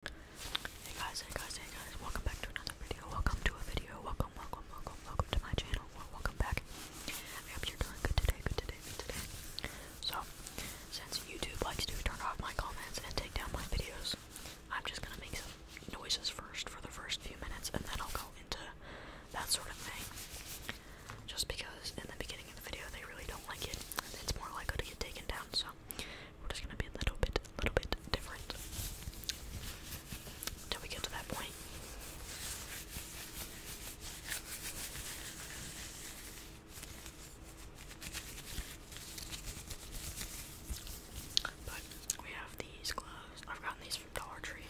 Hey guys, hey guys, hey guys, welcome back to another video, welcome to a video, welcome, welcome, welcome, welcome to my channel, welcome back, I hope you're doing good today, good today, good today, so, since YouTube likes to turn off my comments and take down my videos, I'm just gonna make some noises first for the first few minutes, and then I'll go into that sort of thing, just because in the beginning of the video they really don't like it, it's more likely to get taken down, so, we're just gonna be a little bit, a little bit different until we get to that point. But we have these gloves. I've gotten these from Dollar Tree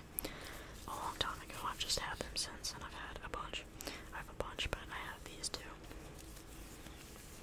a long time ago. I've just had them since, and I've had a bunch. I have a bunch, but I have these too.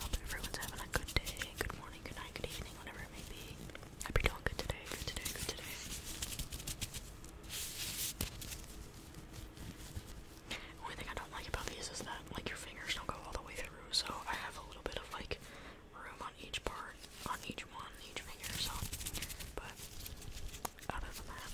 Hope everyone's having a good day, good morning, good night, good evening, whatever it may be. Hope you good today, good today, good today. only thing I don't like about these is that like your fingers don't go all the way through, so I have a little bit of like room on each part, on each one, each finger, so, but, other than that.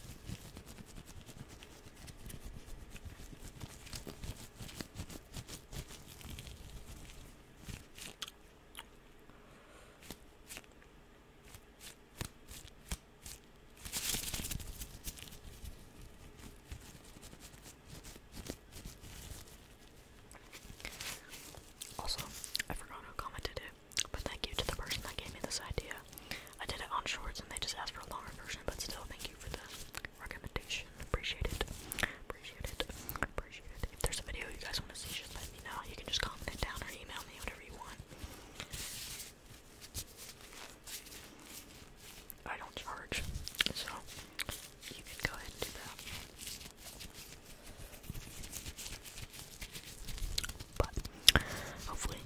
Also, I forgot who commented it, but thank you to the person that gave me this idea. I did it on shorts and they just asked for a longer version, but still thank you for the recommendation. Appreciate it. Appreciate it. Appreciate it. If there's a video you guys want to see, just let me know. You can just comment it down or email me, whatever you want. I don't charge, so you can go ahead and do that. But hopefully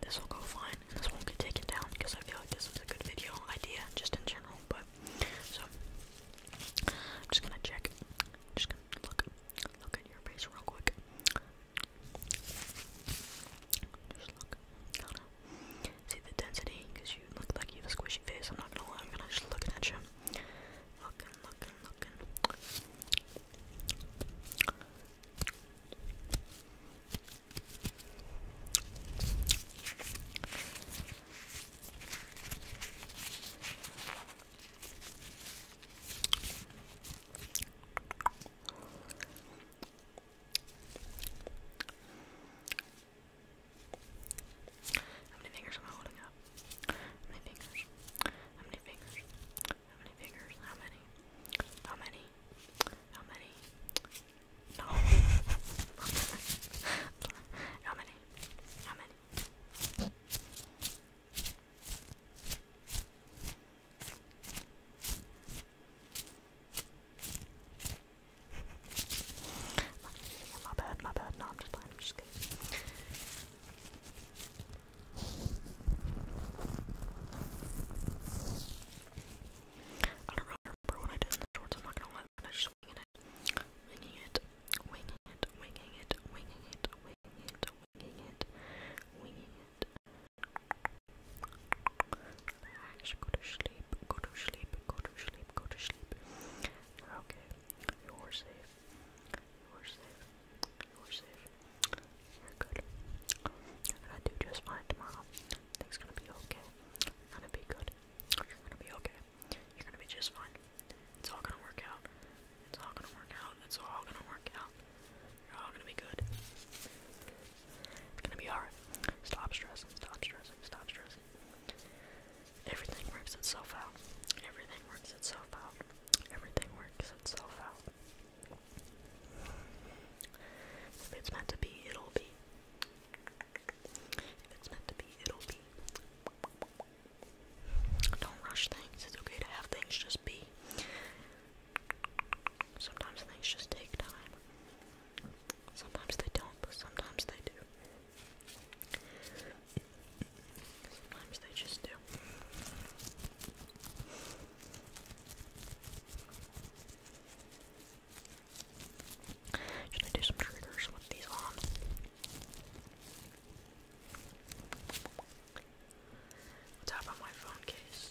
this will go fine this won't get taken down because I feel like this was a good video idea just in general. But so I'm just gonna check. I'm just gonna look look at your face real quick. Just look see the density you look like you have a squishy face. I'm not gonna lie, I'm gonna just looking at you. Looking, looking, looking. How many fingers am I holding up? How many fingers? How many fingers? How many fingers? How many? How many? How many? No. How many? How many? my bad, my bad. No, I'm just playing. I'm just kidding. I don't really remember what I did in the shorts. I'm not gonna lie. I just winging it, winging it, winging it, winging it, winging it, winging it, winging it, winging it. Relax. Go to sleep. Go to sleep. Go to sleep go to sleep. Okay, you are safe. You are safe. You are safe. You're good. You're gonna do just fine tomorrow. Things gonna be okay. you gonna be good. You're gonna be okay. You're gonna be just fine. It's all gonna work out. It's all gonna work out. It's all gonna work out. You're all gonna be good. It's gonna be alright. Stop stressing, stop stressing, stop stressing. Everything works itself out. Everything works itself out. Everything works itself out. If it's meant to be, it'll be. If it's meant to be, it'll be. Don't rush things. It's okay to have things just be. Sometimes things just take time. Sometimes they don't, but sometimes they do. Sometimes they just do. Should I do some triggers with these on? What's up on my phone case?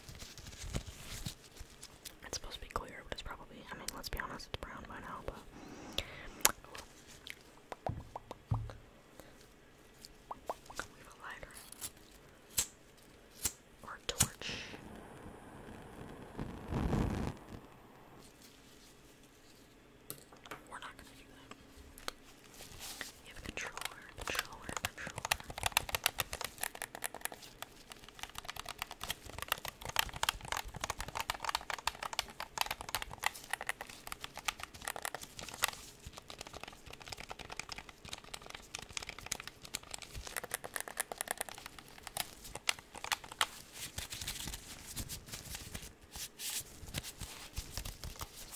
It's supposed to be clear, but it's probably, I mean, let's be honest, it's brown by now, but. You have a controller, controller, controller.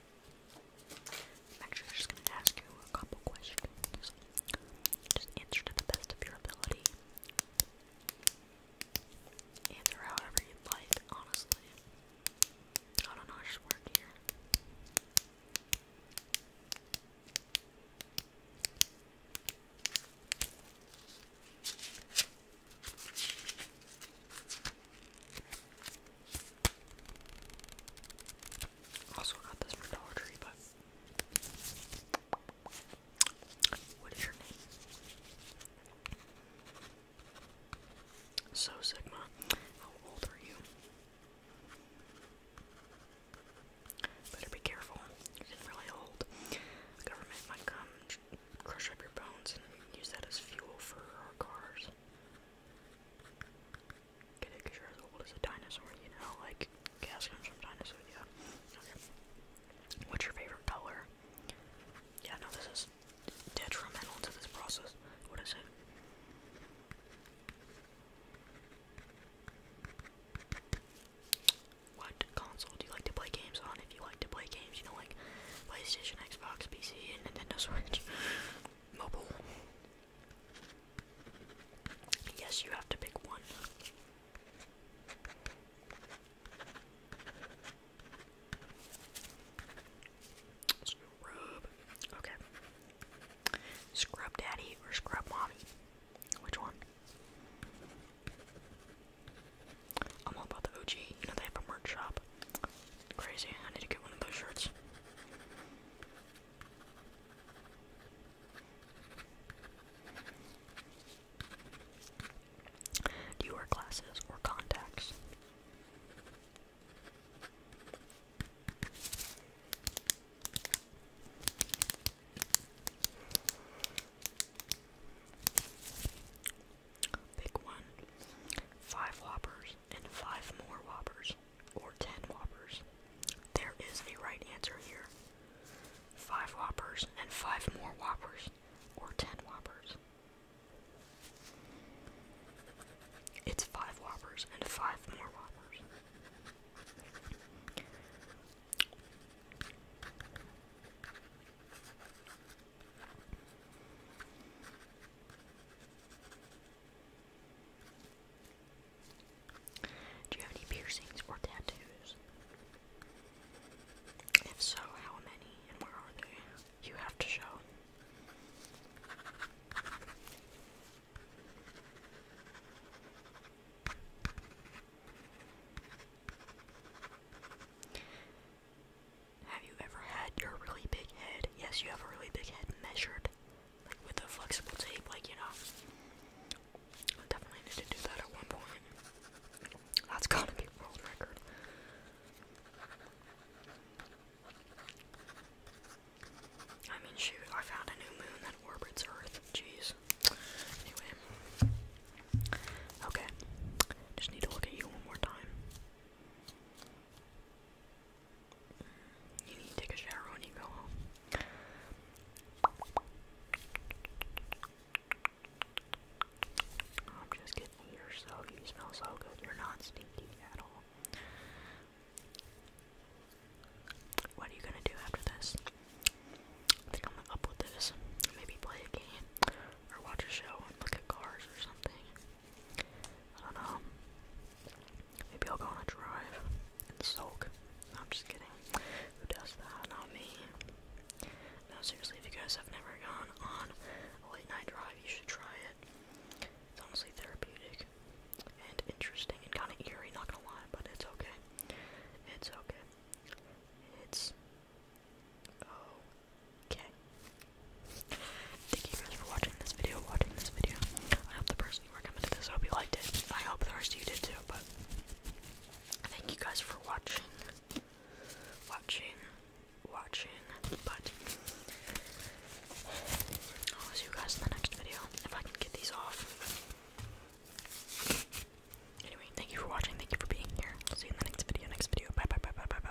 I'm actually just going to ask you a couple questions. Just answer to the best of your ability. Answer however you like, honestly. I don't just work here. Also got this from Dollar Tree, but what is your name? So Sigma, how old are you? Better be careful. You can really hold. The government might come, crush up your bones, and use that as fuel for our cars cause you're as old as a dinosaur, you know, like, gas comes from dinosaurs, yeah. What's your favorite color? Yeah, no, this is detrimental to this process. What is it? What console do you like to play games on? If you like to play games, you know, like PlayStation, Xbox, PC, and Nintendo Switch. mobile. Yes, you have to pick one. Scrub. Okay. Scrub daddy or scrub mommy? Which one? I'm all about the OG. You know they have a merch shop. Crazy, I need to get one of those shirts. Do you wear glasses or contacts? Pick one. Five whoppers and five more Whoppers, or ten Whoppers. There is a right answer here. Five Whoppers and five more Whoppers, or ten Whoppers. It's five Whoppers and five more Whoppers. Do you have any piercings or tattoos? If so, how many and where are they? You have to show. Have you ever had your really big head? Yes, you have a really big head measured, like with a flexible tape, like you know. I definitely need to do that at one point. That's to be a world record. I mean, shoot, I found a new moon that orbits Earth. Jeez. Anyway. Okay. Just need to look at you one more time. You need to take a shower when you go home. I'm just kidding, you're so, you smell so good, you're not stinky at all. What are you gonna do after this? think I'm gonna this, maybe play a game, or watch a show and look at cars or something. I don't know. Maybe I'll go on a drive and soak. I'm just kidding. Who does that? Not me. Now, seriously, if you guys have never gone on a late night drive, you should try it. It's honestly therapeutic and interesting and kind of eerie, not gonna lie, but it's okay. It's okay. It's oh. Okay. Thank you guys for watching this video, watching this video. I hope the person who recommended this, I hope you liked it. I hope the rest of you did too, but thank you guys for watching. Watching. Watching. But I'll see you guys in the next video. If I can get these off. Anyway, thank you for watching. Thank you for being here. see you in the next video. Next video. Bye bye bye bye bye bye.